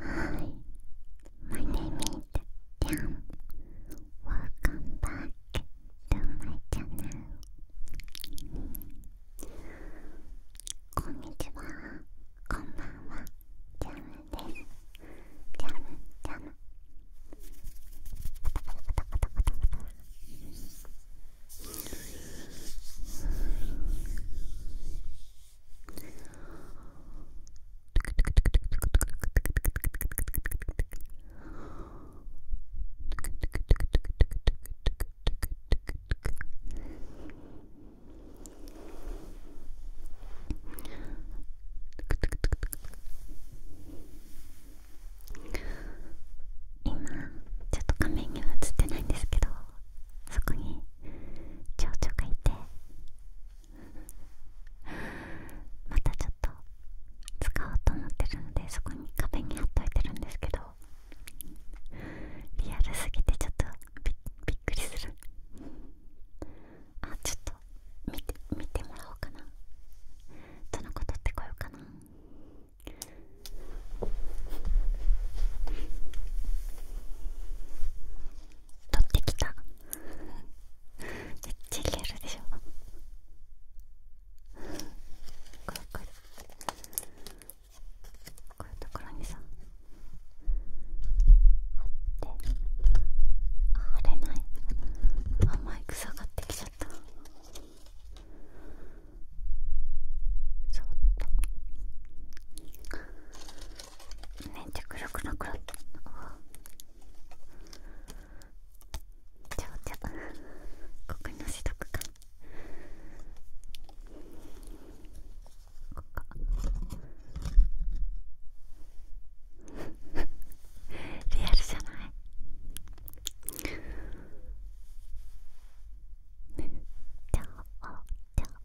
Hi, my name is Jam. Welcome back to my channel. こんにちは、こんばんは、ジャムです。ジャム、ジャム。今ちょっと画面には映ってないんですけどそこに蝶々がいてまたちょっと使おうと思ってるのでそこに壁に貼っといてるんですけどリアルすぎてちょっとびっびっくりするあちょっと見て見てもらおうかなどの子とってこようかなあ 取ってきためっちゃリアルでしょこれこれこういうところにさ貼って貼れないあマイク下がってきちゃったそっとめっちゃくるくくちゃおちゃここにのしとくかここリアルじゃないちゃおちゃ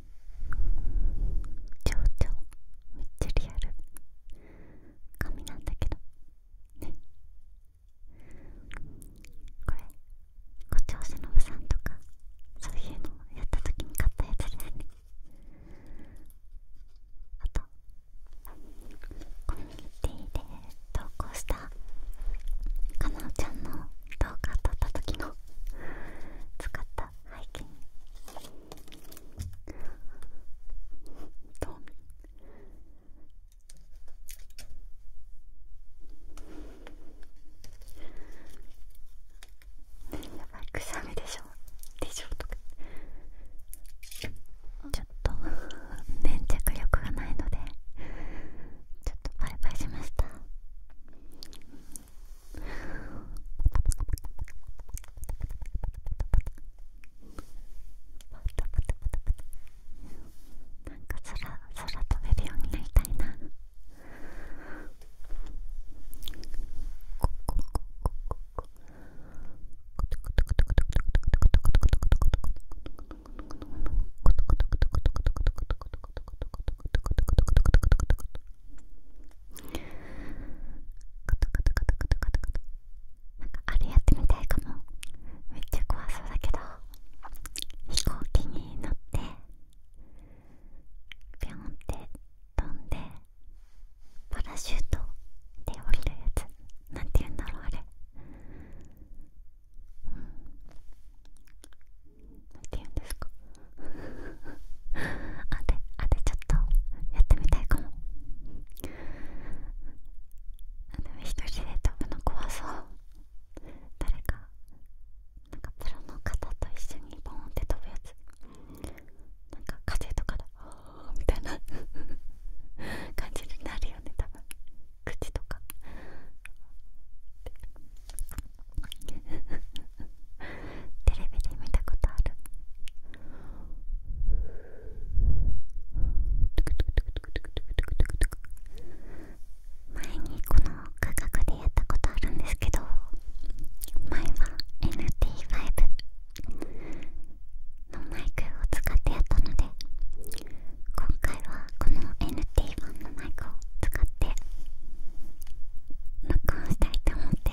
ちょう超超めっちゃリアル紙なんだけどねこれ胡蝶しのさんとかそういうのをやった時に買ったやつだよねあとコミュニティで投稿したかなおちゃんの動画撮った時の使った背景に。トミやばい臭しみでしょでしょとかちょっと粘着力がないのでちょっとバイバイしましたなんか空空飛べるようになりたいなここここここカタカタカタカタカタなんかあれやってみたいかもめっちゃ怖そうだけど飛行機に乗ってビョンって飛んでパラシュートで降りるやつなんて言うんだろうあれうんなんて言うんですかあであでちょっとやってみたいかもでも一人で飛ぶの怖そう誰かなんかプロの方と一緒にボーンって飛ぶやつなんか風とかで「あー」みたいな感じになるよね多分口とか テレビで見たことある前にこの価格でやったことあるんですけど前は NT5 のマイクを使ってやったので今回はこの NT1 のマイクを使って録音したいと思って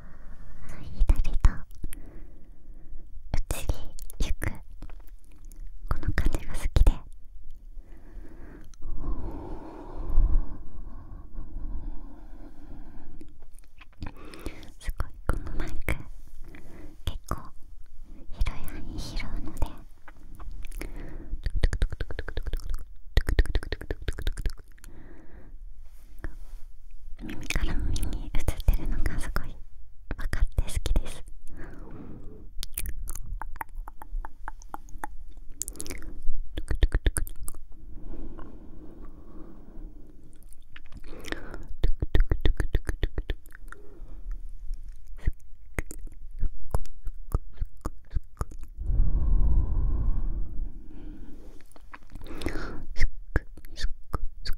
左と内にゆくこの感じが好きですごいこのマイク結構広い範囲拾うので。耳から耳に映ってるのがすごいわかって好きですすくすくすくすくすくすくくすくく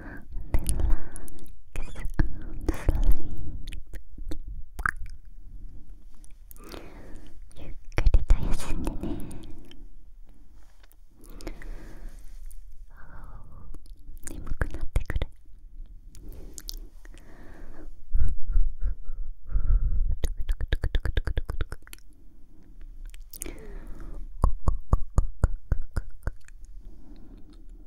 ゆっくりと休んでね眠くなってくるゆっくりと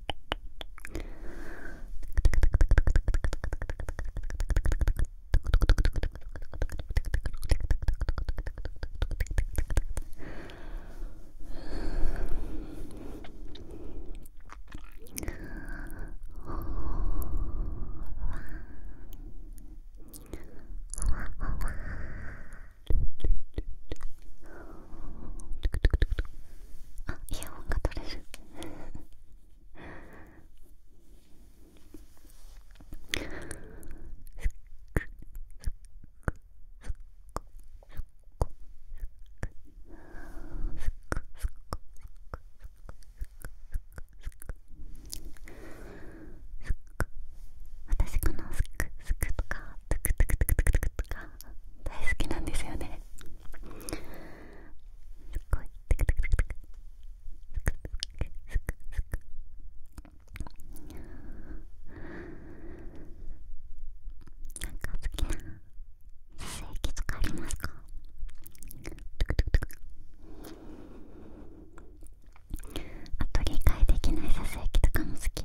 あイヤホンが取れる私このスクスクとかトゥクトゥクトゥクトゥクトゥクとか大好きなんですよねすっごいテクテクテクテクすくすくすくなんか好きな性器とかありますかトゥクトゥクトゥクあと理解できないさせ液とかも好き。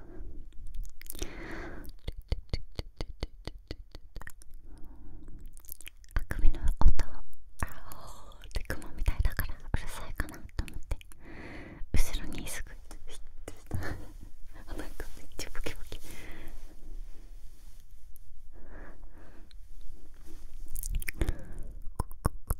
あくびの音は、あーでて雲みたいだからうるさいかなと思って後ろにすぐヒッてしたあなめっちゃボキボキこここさっき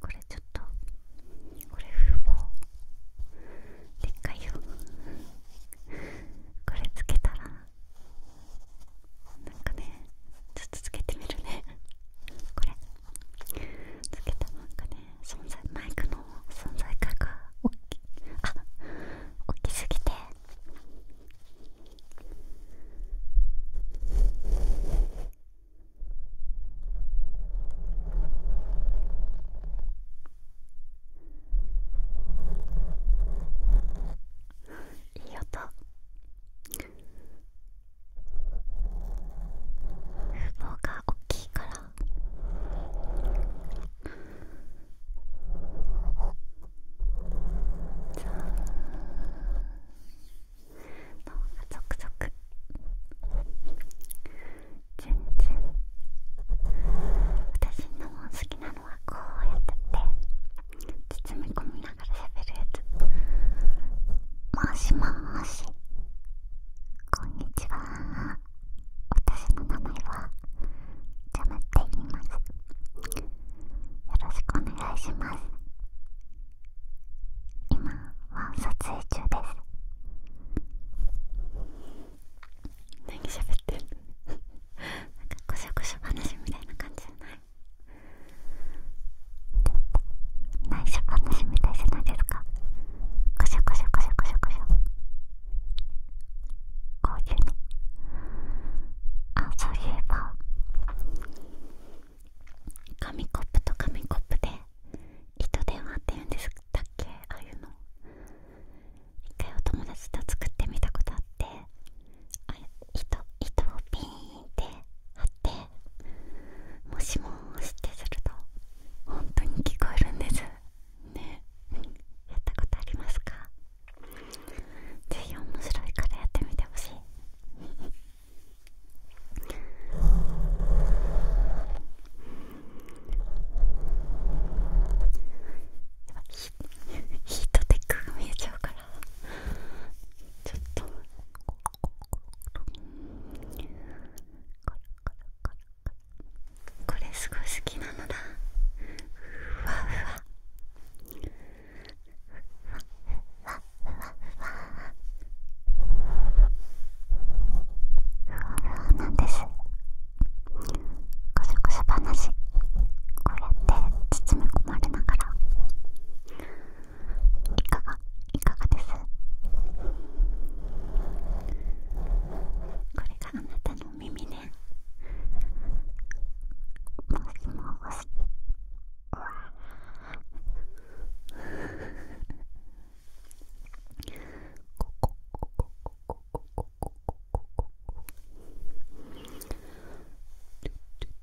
これちょっとこれ風貌でっかいよこれつけたらなんかねちょっとつけてみるねこれつけたなんかね存在マイクの存在感が大きあ大きすぎていい音羽毛が大きいからそうのがゾクゾク全然私の好きなのはこうやってて包み込むよもしもしこんにちは私の名前はジャムって言いますよろしくお願いします今は撮影中です何喋ってなんかこしょこしょ話みたいな感じじゃない内緒話みたいじゃないですかこしょこしょこしょこしょこしょこういうのあそういえば紙コップと紙コップで糸電話って言うんですっけああいうの一回お友達と作ってみたことあってあ糸糸をピーンって貼ってもしもーしってすると本当に聞こえるんですねやったことありますかぜひ面白いからやってみてほしい ヒートテックが見えちゃうからちょっとこれすごい好きなのだふわふわふわふわふわふわふわなんですこそこそ話こうやって包み込まれながらいかがいかがですこれがあなたの耳ねもしもしうわこここここここここここここここここここ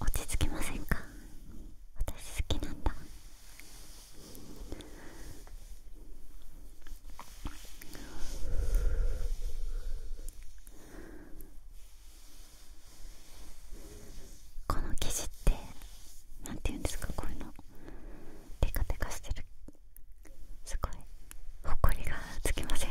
落ち着きませんか私好きなんだこの生地ってなんていうんですかこういうのテカテカしてるすごいほこりがつきません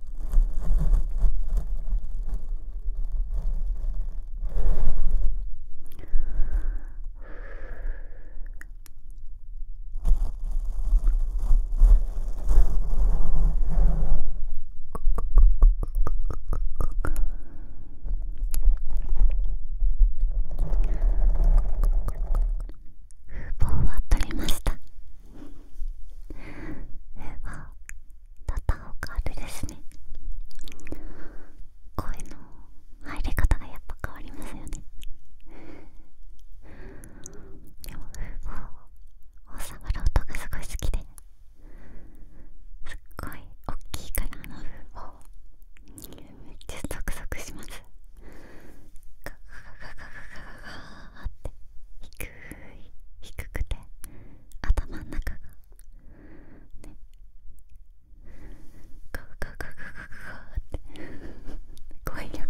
風防は取りましたえばだったおかあれですね声の入り方がやっぱ変わりますよねでも風貌を触る音がすごい好きですっごいおっきいからあの風貌めっちゃゾクゾクしますガガガガガガ低くて頭の中がねガガガガガガガって語彙力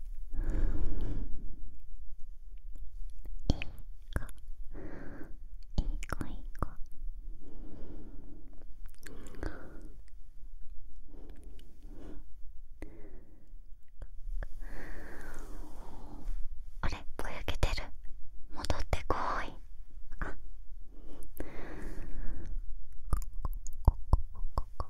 いい子、いいいいいい子子。子あれぼやけてる戻ってこいあここここここ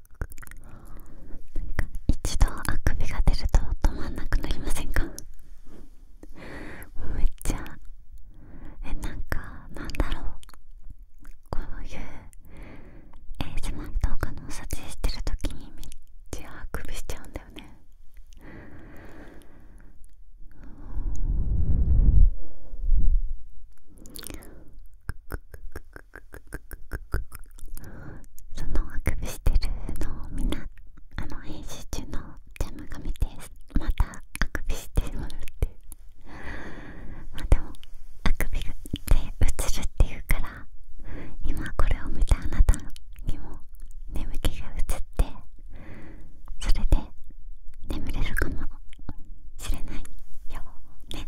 か一度あくびが出ると止まんなくなりませんかめっちゃえなんかなんだろうこういう ASMR 動画の撮影してる時にめっちゃあくびしちゃうんだよね そのあくびしてるのをみんなあの編集中のジャムが見てまたあくびしてもらってまあでもあくびでうつるっていうから今これを見たあなたにも眠気がうつってそれで眠れるかもしれないよね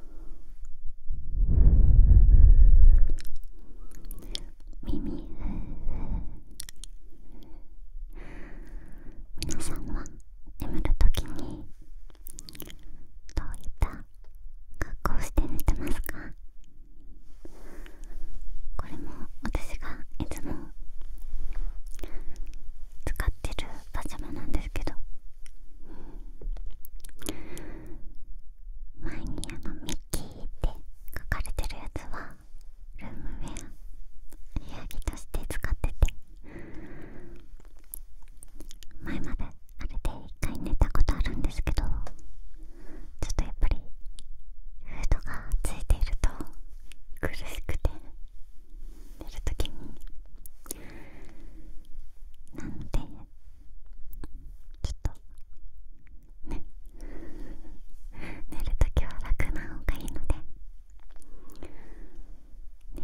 耳皆さんは眠るときにどういった格好をして寝てますかこれも私がいつも使ってるパジャマなんですけど前にあのミッキーって書かれてるやつはルームウェア部ヤギとして使ってて前まであれで一回寝たことあるんですけどちょっとやっぱりフードがついていると苦しくて寝るときになのでちょっとね寝るときは楽な方がいいのでね耳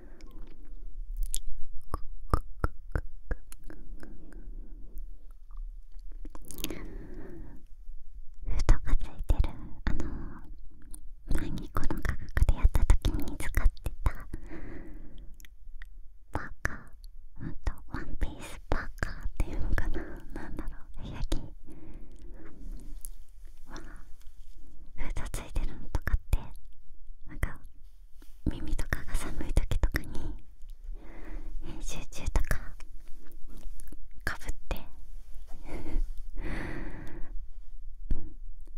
ふとがついてるあの前にこの価格でやった時に使ってたパーカーうとワンピースパーカーっていうのかななんだろう部屋フードついてるのとかってなんか耳とかが寒い時とかに編集中とかかぶって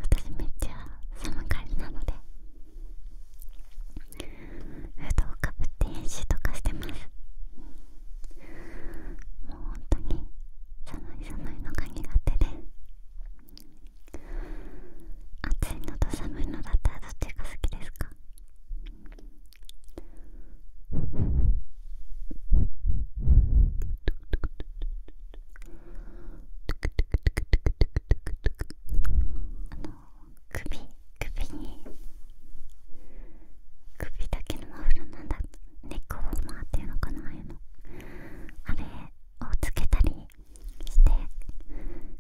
私めっちゃ寒がりなのでフードをかぶって編集とかしてますもう本当に寒い寒いのが苦手で暑いのと寒いのだったらどっちが好きですかあの首首に首だけのマフラーなんだネックウォーマーっていうのかなああいうのあれをつけたりして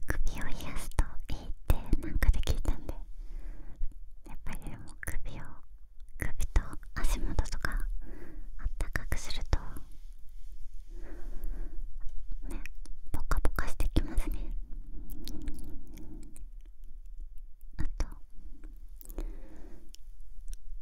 首を冷やすといいってなんかできいたんでやっぱりでも首を首と足元とかあったかくするとねポカポカしてきますねあと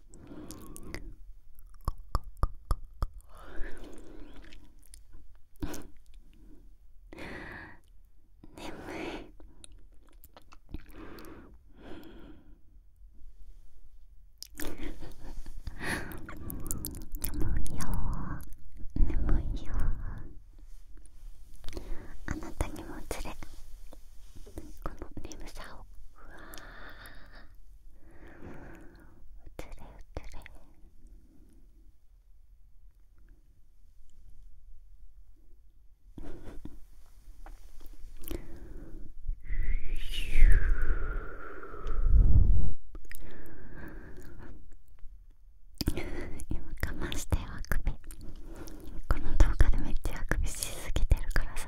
眠い眠いよ眠いよあなたにもつれこの眠さをうつれうつれ今我慢してあくびこの動画でめっちゃあくびしすぎてるからさ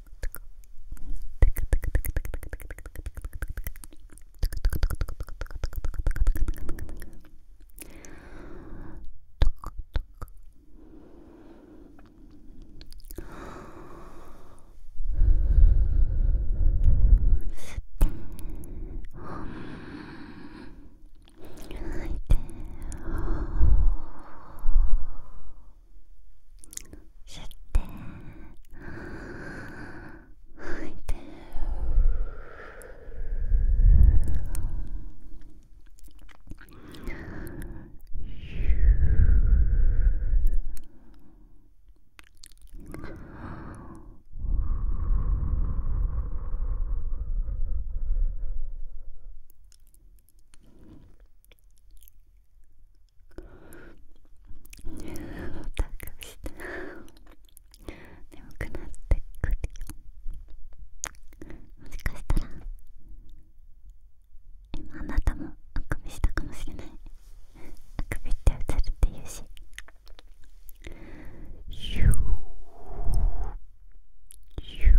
吐いて。吸って吐いててたくした眠くなってくるよもしかしたら今あなたもあくびしたかもしれないあくびってうつるって言うしゆうゆう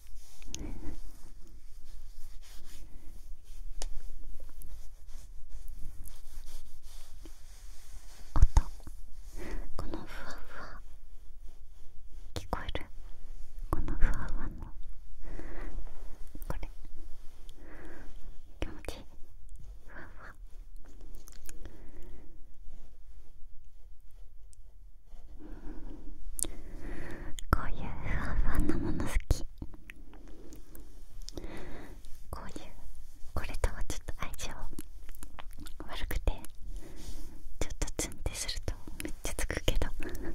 このふわふわ聞こえるこのふわふわのこれ気持ちいいふわふわこういうふわふわなもの好きこういうこれとはちょっと相性悪くてちょっとツンってするとめっちゃつくけどふう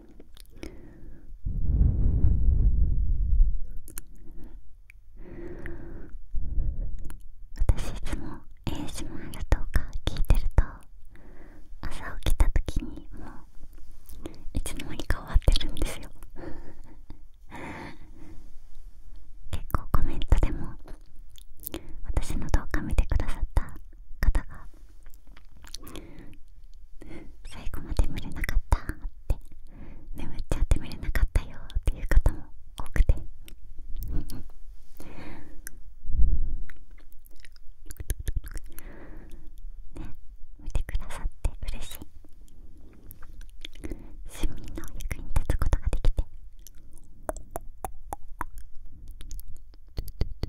私いつも ASMR とか聞いてると朝起きた時にもういつの間にか終わってるんですよ 結構コメントでも私の動画見てくださった方が最後まで見れなかったって眠っちゃって見れなかったよっていう方も多くてね見てくださって嬉しい市民の役に立つことができてちょっと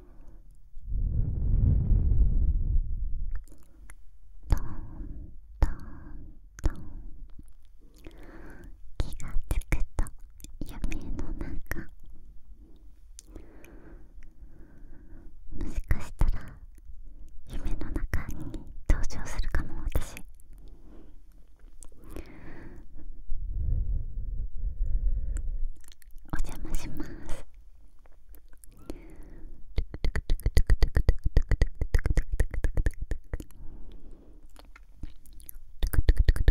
トントントン気がつくと夢の中もしかしたら夢の中に登場するかも私お邪魔しますトゥクトゥク